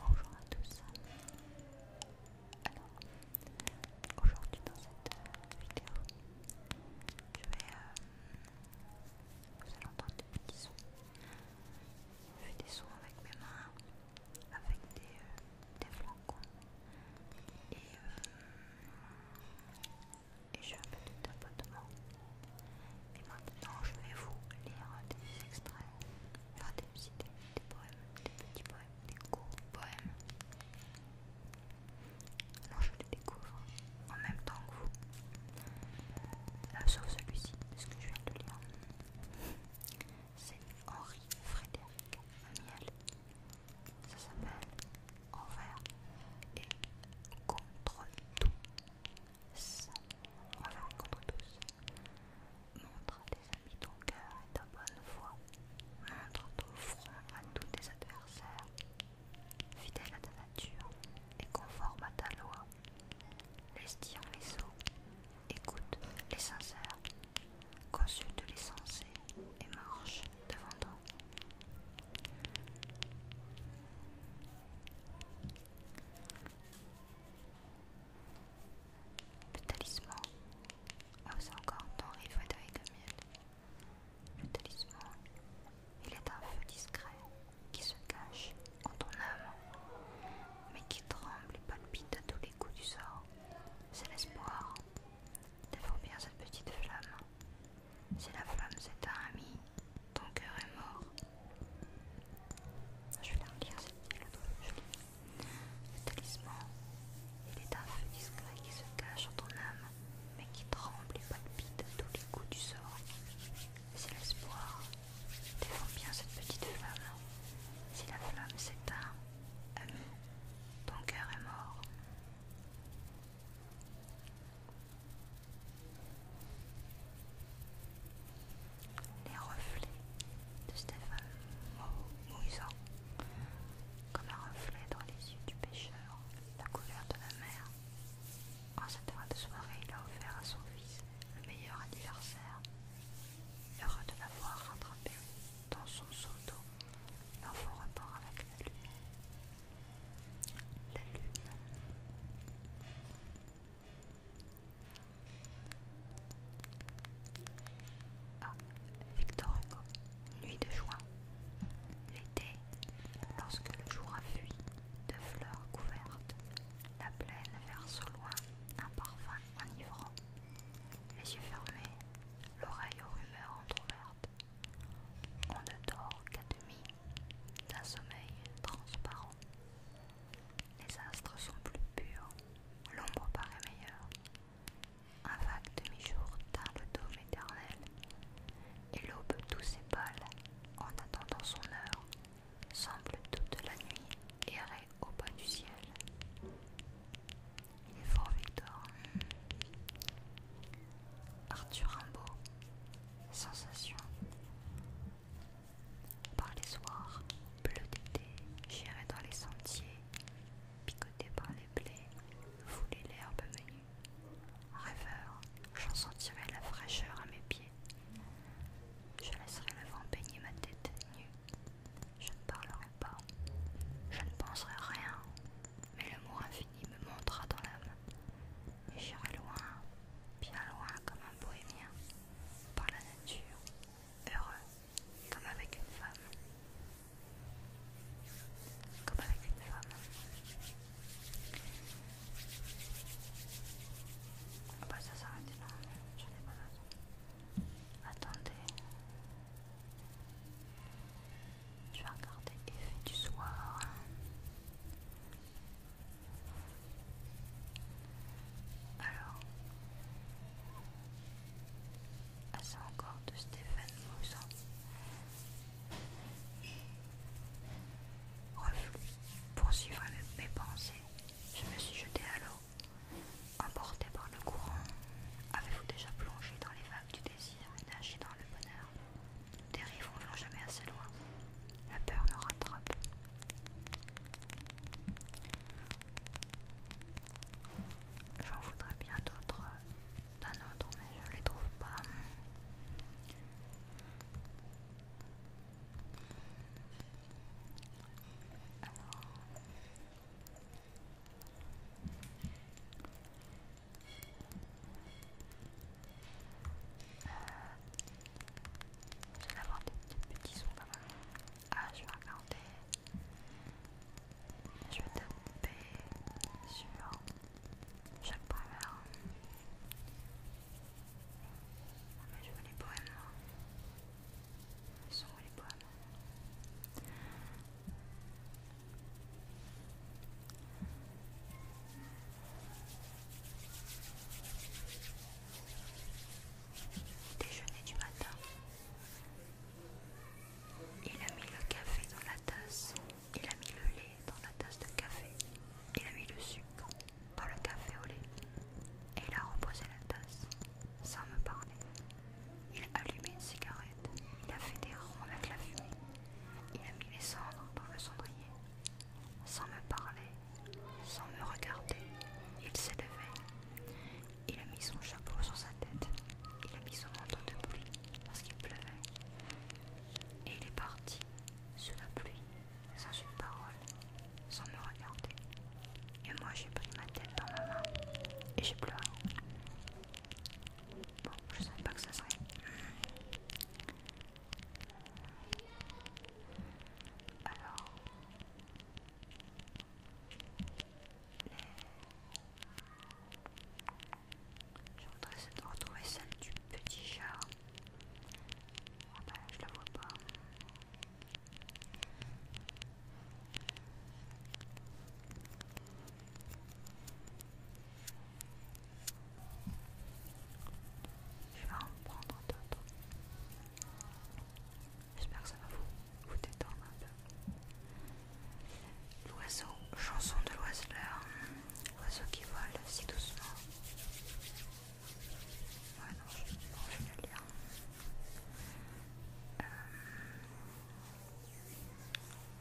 Bonjour à tous. Alors, aujourd'hui dans cette euh, vidéo, je vais, euh, vous allez entendre des petits sons. Je fais des sons avec mes mains, avec des, euh, flacons, et, et je fais un peu de tapotement. Et maintenant, je vais vous lire des extraits, enfin des des poèmes, des petits poèmes, des gros poèmes. Alors, je les découvre en même temps que vous, euh, sauf celui-ci, ce que je viens de lire. C'est Henri Frédéric Amiel. Ça s'appelle Envers et contre tout. Montre contre tous. Montre tes amis ton cœur et ta bonne foi. Montre ton front à tous tes adversaires. Fidèle à ta nature et conforme à ta loi. Laisse dire les os, écoute les sincères, consulte les sensés et marche devant toi. Le talisman. Ah, encore. ton il faut avec le miel. Le talisman. Il est un feu discret qui se cache en ton âme, mais qui tremble et palpite à tous les coups du sort. C'est l'espoir. de bien cette petite flamme. Si la flamme s'éteint, ami, ton cœur est mort. Je vais la relire, c'est le je Le talisman, il est un feu discret qui se cache dans ton âme, mais qui tremble et palpite à tous les coups du sort. C'est l'espoir. défend bien cette petite flamme. Si la flamme s'éteint, ami, ton cœur est mort. Les reflets de Stéphane Moïsan, comme un reflet dans les yeux du pêcheur, la couleur de la mer. En cette heure de soirée, il a offert à son fils le meilleur anniversaire. Heureux de l'avoir rattrapé dans son seau d'eau, l'enfant repart avec la la lune. Ah, Victor Hugo, nuit de juin. L'été, lorsque le jour a fui, de fleurs couvertes, la plaine verse au loin un parfum enivrant. Les yeux fermés, l'oreille aux rumeurs entr'ouvertes, on ne dort qu'à demi, d'un sommeil transparent. Les astres sont plus purs, l'ombre paraît meilleure. Un vague demi-jour table le dôme éternel, et l'aube douce et pâle, en attendant son heure, semble toute la nuit errer au bas du ciel. Il est fort Victor. Arthur Rimbaud, Sensation. Par les soirs, bleu d'été, j'irai dans les sentiers, picoté par les blés, fouler l'herbe menue. Rêveur, j'en sentirai la fraîcheur à mes pieds. Je laisserai le vent baigner ma tête nue. Je ne parlerai pas, je ne penserai rien, mais le mot il me montra dans l'âme, Et j'irai loin, bien loin comme un bohémien, par la nature, heureux, comme avec une femme. Comme avec une femme. Ah bah ça s'arrête là, j'en ai pas besoin. Attendez. Je vais regarder effet du soir. Alors. Assez ah, encore de Stéphane Moussan. Pour suivre mes pensées, je me suis jetée à l'eau. emportée par le courant, avez-vous déjà plongé dans les vagues du désir et nager dans le bonheur. Nous dérivons jamais assez loin. La peur nous rattrape. J'en voudrais bien d'autres d'un autre, mais je ne les trouve pas. Euh, je vais avoir des petits sons Ah, je vais regarder. Je vais taper sur chaque première. Ah, mais je veux les poèmes. Hein. les sons et les poèmes Déjeuner du matin. Il a mis le café dans la tasse. Il a mis le lait dans la tasse de café. Il a mis le sucre dans le café au lait. Et il a reposé la tasse sans me parler. Il a allumé une cigarette. Il a fait des ronds avec la fumée. Il a mis les cendres dans le cendrier. Sans me parler, sans me regarder, il s'est levé. Il a mis son chapeau sur sa tête. Il a mis son manteau de pluie parce qu'il pleuvait. Et il est parti sous la pluie, sans une parole, sans me regarder. Et moi j'ai pris ma tête dans ma main et j'ai pleuré. Bon, je savais pas que ça serait. Alors. Je voudrais retrouver celle du petit chat. Ah ben, je la vois pas. Je vais en prendre d'autres. J'espère que ça va vous, détendre un peu. L'oiseau, chanson de l'oiseleur. L'oiseau qui vole si doucement. Ouais, non, je, vais lire. Euh,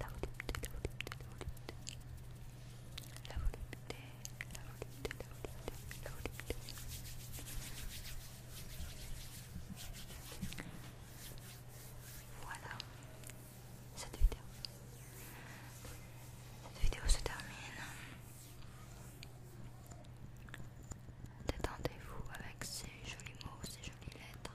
la volupté, la volupté, la volupté, la volupté, la volupté, la volupté, la volupté. Voilà, cette vidéo. Cette vidéo se termine. Détendez-vous avec ces jolis mots, ces jolies lettres.